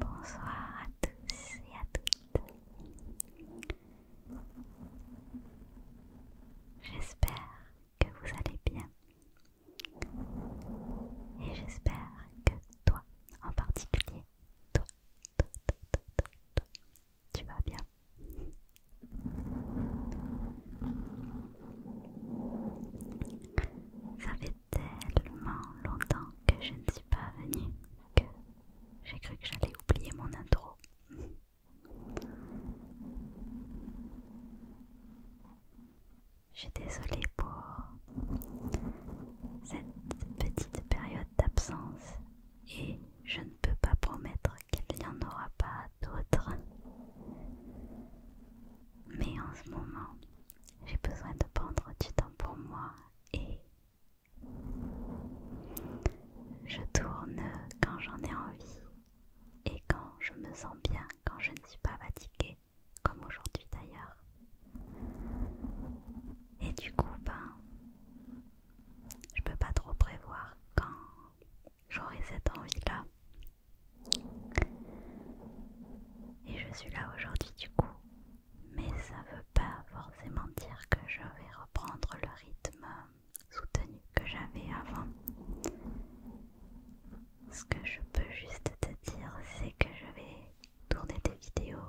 Bonsoir à tous et à toutes. J'espère que vous allez bien et j'espère que toi, en particulier, toi, toi, toi, toi, toi, toi tu vas bien. Ça fait tellement longtemps que je ne suis pas venue que j'ai cru que j'allais oublier mon intro. Je suis désolée pour cette petite période d'absence et je ne peux pas promettre qu'il n'y en aura pas d'autres. Mais en ce moment, j'ai besoin de prendre du temps pour moi et je tourne quand j'en ai envie et quand je me sens bien, quand je ne suis pas fatiguée, comme aujourd'hui d'ailleurs. Et du coup, ben, je peux pas trop prévoir quand j'aurai cette envie-là. Et je suis là aujourd'hui du coup, mais ça veut pas forcément dire que je vais reprendre le rythme soutenu que j'avais avant ce que je peux juste te dire, c'est que je vais tourner des vidéos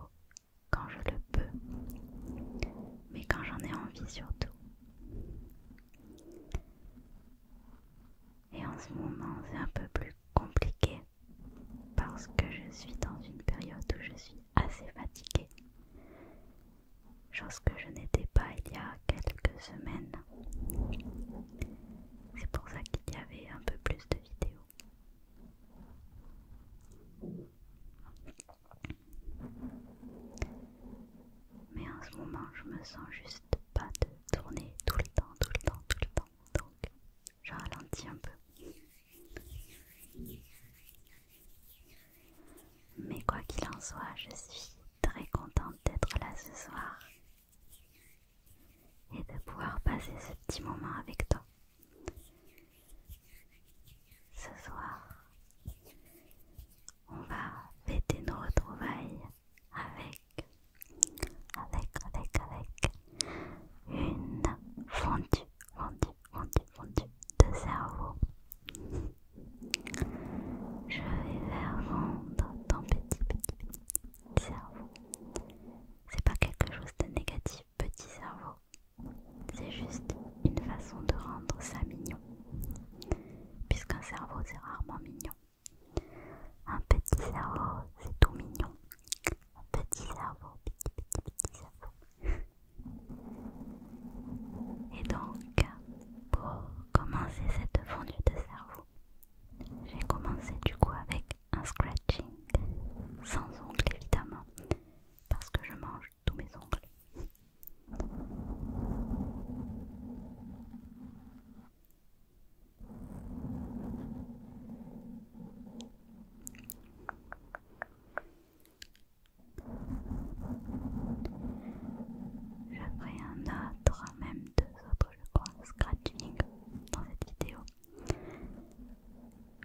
quand je le peux, mais quand j'en ai envie surtout. Et en ce moment, c'est un peu plus compliqué parce que je suis dans une période où je suis assez fatiguée, chose que je n'étais pas il y a quelques semaines c'est pour ça qu'il y avait un peu plus de vidéos. Mais en ce moment, je me sens juste pas de tourner tout le temps, tout le temps, tout le temps. Donc, je ralentis un peu. Mais quoi qu'il en soit, je suis très contente d'être là ce soir et de pouvoir passer ce petit moment avec toi. Ce soir, on va fêter nos retrouvailles avec, avec, avec, avec une fondue, fondue, fondue, fondue de cerveau. Je vais faire vendre ton petit, petit, petit cerveau. C'est pas quelque chose de négatif, petit cerveau. C'est juste une façon de rendre ça mignon. Puisqu'un cerveau, c'est rarement mignon. Un petit cerveau, c'est tout mignon. Un petit cerveau, petit, petit, petit cerveau. Et donc, pour commencer cette fondue de cerveau, j'ai commencé du coup avec un scratching, sans ongles évidemment, parce que je mange tous mes ongles. Je ferai un autre, même deux autres je crois, scratching dans cette vidéo.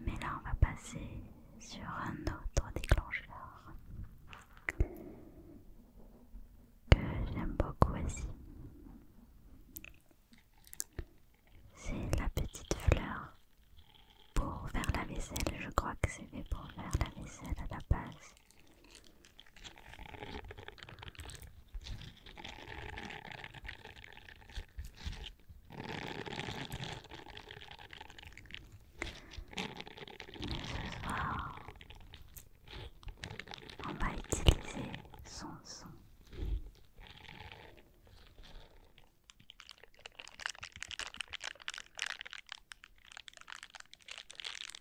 Mais là, on va passer sur un autre déclencheur que j'aime beaucoup aussi. C'est la petite fleur pour faire la vaisselle. Je crois que c'est fait pour faire la vaisselle à la base ce soir, on va utiliser son son.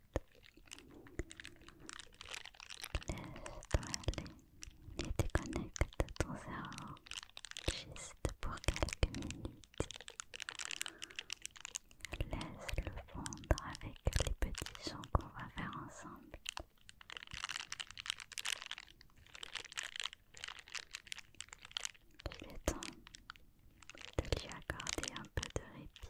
Laisse-toi aller et déconnecte ton cerveau juste pour quelques minutes. Laisse-le fondre avec les petits chants qu'on va faire ensemble. Il est temps de lui accorder un peu de répit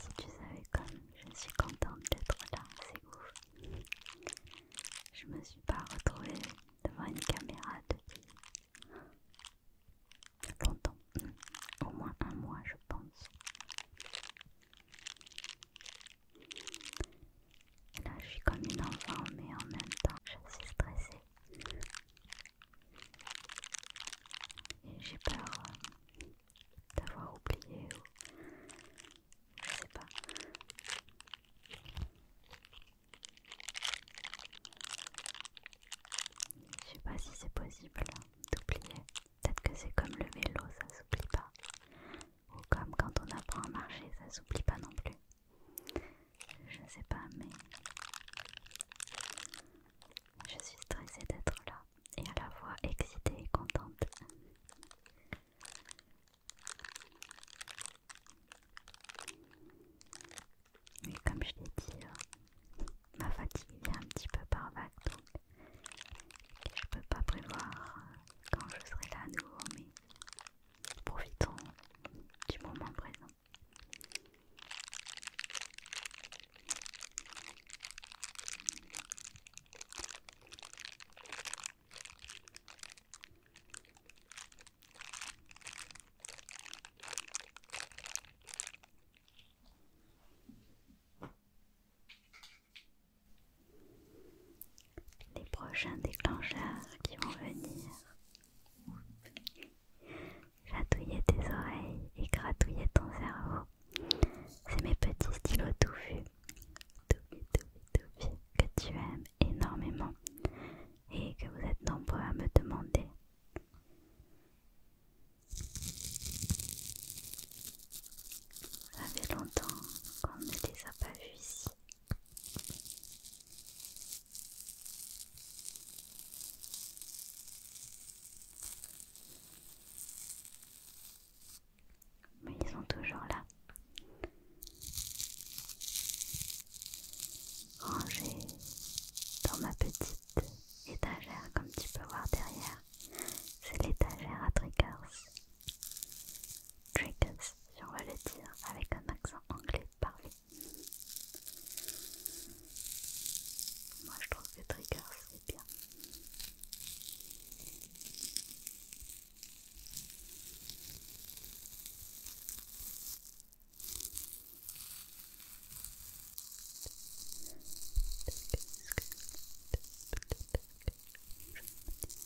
Si tu savais comme je suis contente d'être là, c'est ouf. Je ne me suis pas retrouvée devant une caméra depuis longtemps, au moins un mois je pense là, je suis comme une enfant, mais en même temps, je suis stressée. Et j'ai peur euh, d'avoir oublié ou. Je sais pas. Je sais pas si c'est possible hein, d'oublier. Peut-être que c'est comme le vélo, ça s'oublie pas. Ou Comme quand on apprend à marcher, ça s'oublie pas non plus. Je sais pas, mais je suis stressée d'être là et à la fois excitée et contente. Mais comme je l'ai dit, euh, ma fatigue vient un petit peu par vague, donc je ne peux pas prévoir quand je serai là à nouveau, mais profitons du moment présent les prochains déclencheurs qui vont venir Gratouiller tes oreilles et gratouiller ton cerveau. C'est mes petits stylos touffus, que tu aimes énormément et que vous êtes nombreux à me demander. Ça fait longtemps qu'on ne les a pas vus ici. Mais ils sont toujours là. Rangés dans ma petite étagère, comme tu peux voir derrière. C'est l'étagère à triggers. Triggers, si on va le dire avec un accent anglais parlé. Moi je trouve que triggers c'est bien.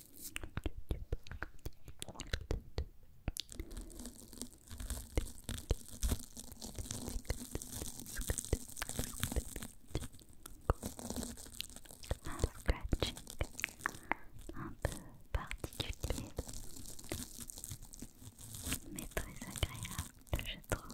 Un peu particulier, mais très agréable, je trouve.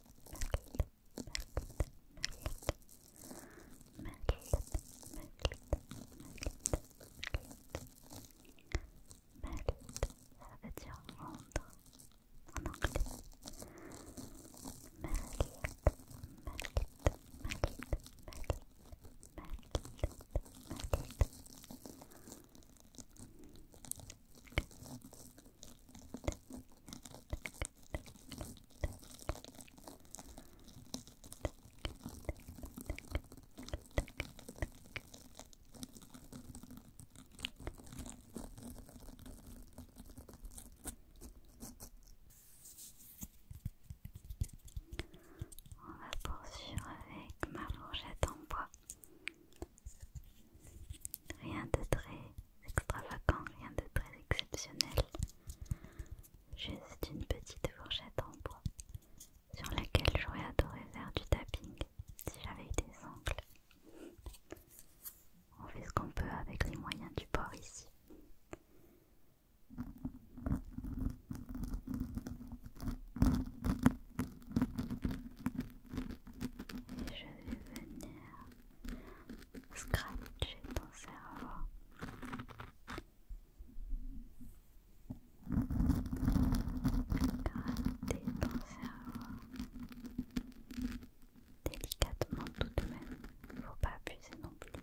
ça veut dire rendre en anglais. On va poursuivre avec ma fourchette en bois Rien de très extravagant, rien de très exceptionnel. Juste une petite fourchette en bois sur laquelle j'aurais adoré faire du tapping si j'avais des ongles. On fait ce qu'on peut avec les moyens du bord ici. Et je vais venir scratcher ton cerveau. Gratter ton cerveau. Délicatement tout de même. il ne Faut pas abuser non plus.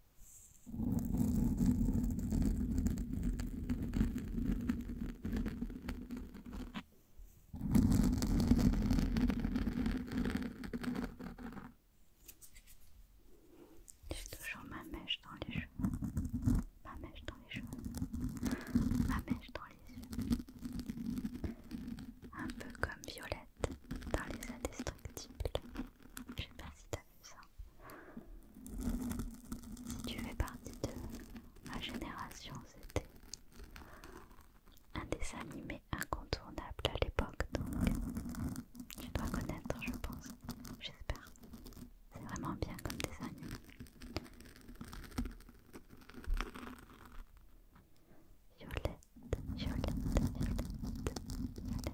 J'ai toujours ma mèche dans les cheveux, ma mèche dans les cheveux, ma mèche dans les yeux. Un peu comme Violette dans les indestructibles. Je sais pas si t'as si tu fais partie de ma génération, c'était un dessin animé incontournable à l'époque, donc tu dois connaître, je pense. J'espère. C'est vraiment bien comme dessin animé. violette, violette, violette, violette,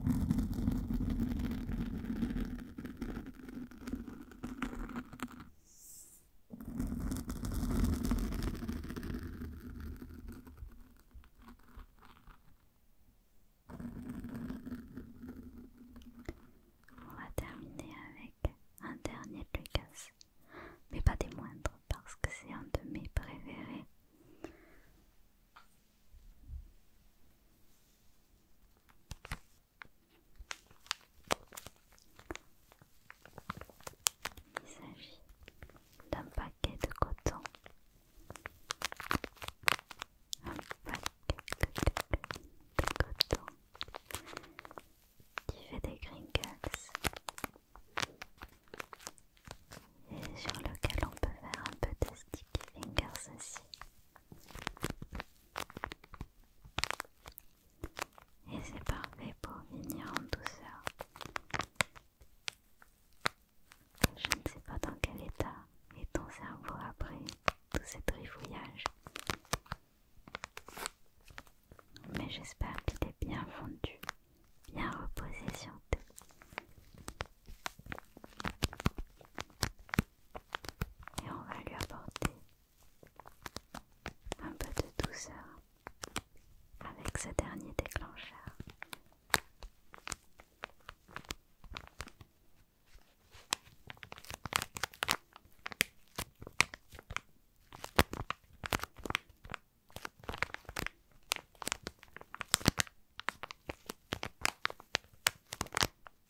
On va terminer avec un dernier de mais pas des moindres parce que c'est un de mes préférés. Il s'agit d'un paquet de coton. Un paquet de coton qui fait des crinkles, et sur lequel on peut faire un peu de sticky fingers aussi. Et c'est parfait pour venir en douceur. Je ne sais pas dans quel état est ton cerveau après tout ce trifouillage. Mais j'espère qu'il est bien fondu, bien reposé sur toi. Et on va lui apporter un peu de douceur avec ce dernier déclencheur.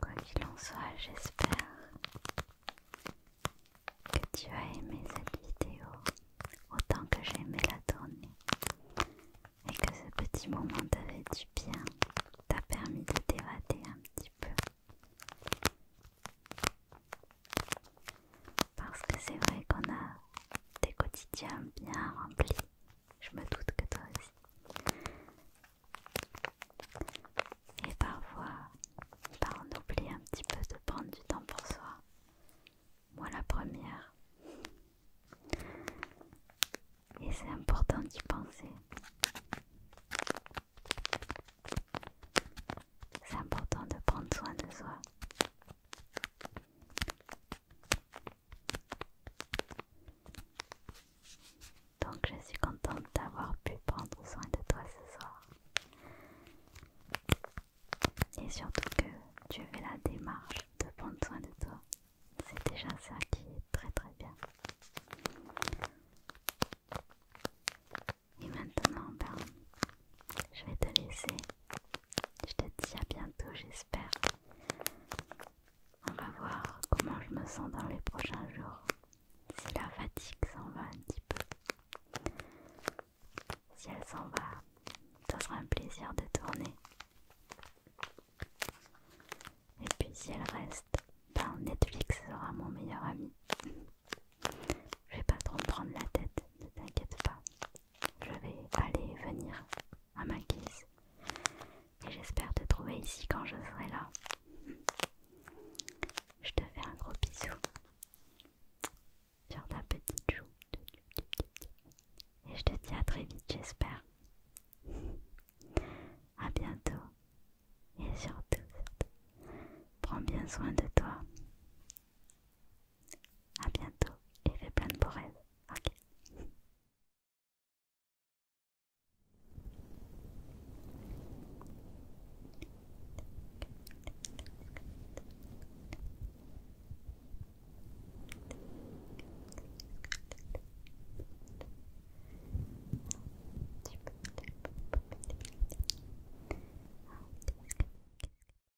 Quoi qu'il en soit, j'espère que tu as aimé cette vidéo autant que j'ai aimé la tournée et que ce petit moment t'avait du bien, t'a permis de t'évader un petit peu. Parce que c'est vrai qu'on a des quotidiens bien remplis. Je me doute que toi aussi. Et parfois, bah, on oublie un petit peu de prendre du temps pour soi. Moi la première. Et c'est important d'y penser. C'est important de prendre soin de soi. Donc je suis contente d'avoir pu prendre soin de toi ce soir. Et surtout que tu fais la démarche de prendre soin de toi. C'est déjà ça qui est très très bien. Et maintenant, ben, je vais te laisser je te dis à bientôt, j'espère. On va voir comment je me sens dans les prochains jours. Si la fatigue s'en va un petit peu. Si elle s'en va, ça sera un plaisir de tourner. Et puis si elle reste, ben Netflix sera mon meilleur ami. Je vais pas trop me prendre la tête, ne t'inquiète pas je vais aller venir à ma guise et j'espère te trouver ici quand je serai là. Je te fais un gros bisou sur ta petite joue et je te dis à très vite j'espère. À bientôt et surtout, prends bien soin de toi. À bientôt et fais plein de beaux rêves. Ok.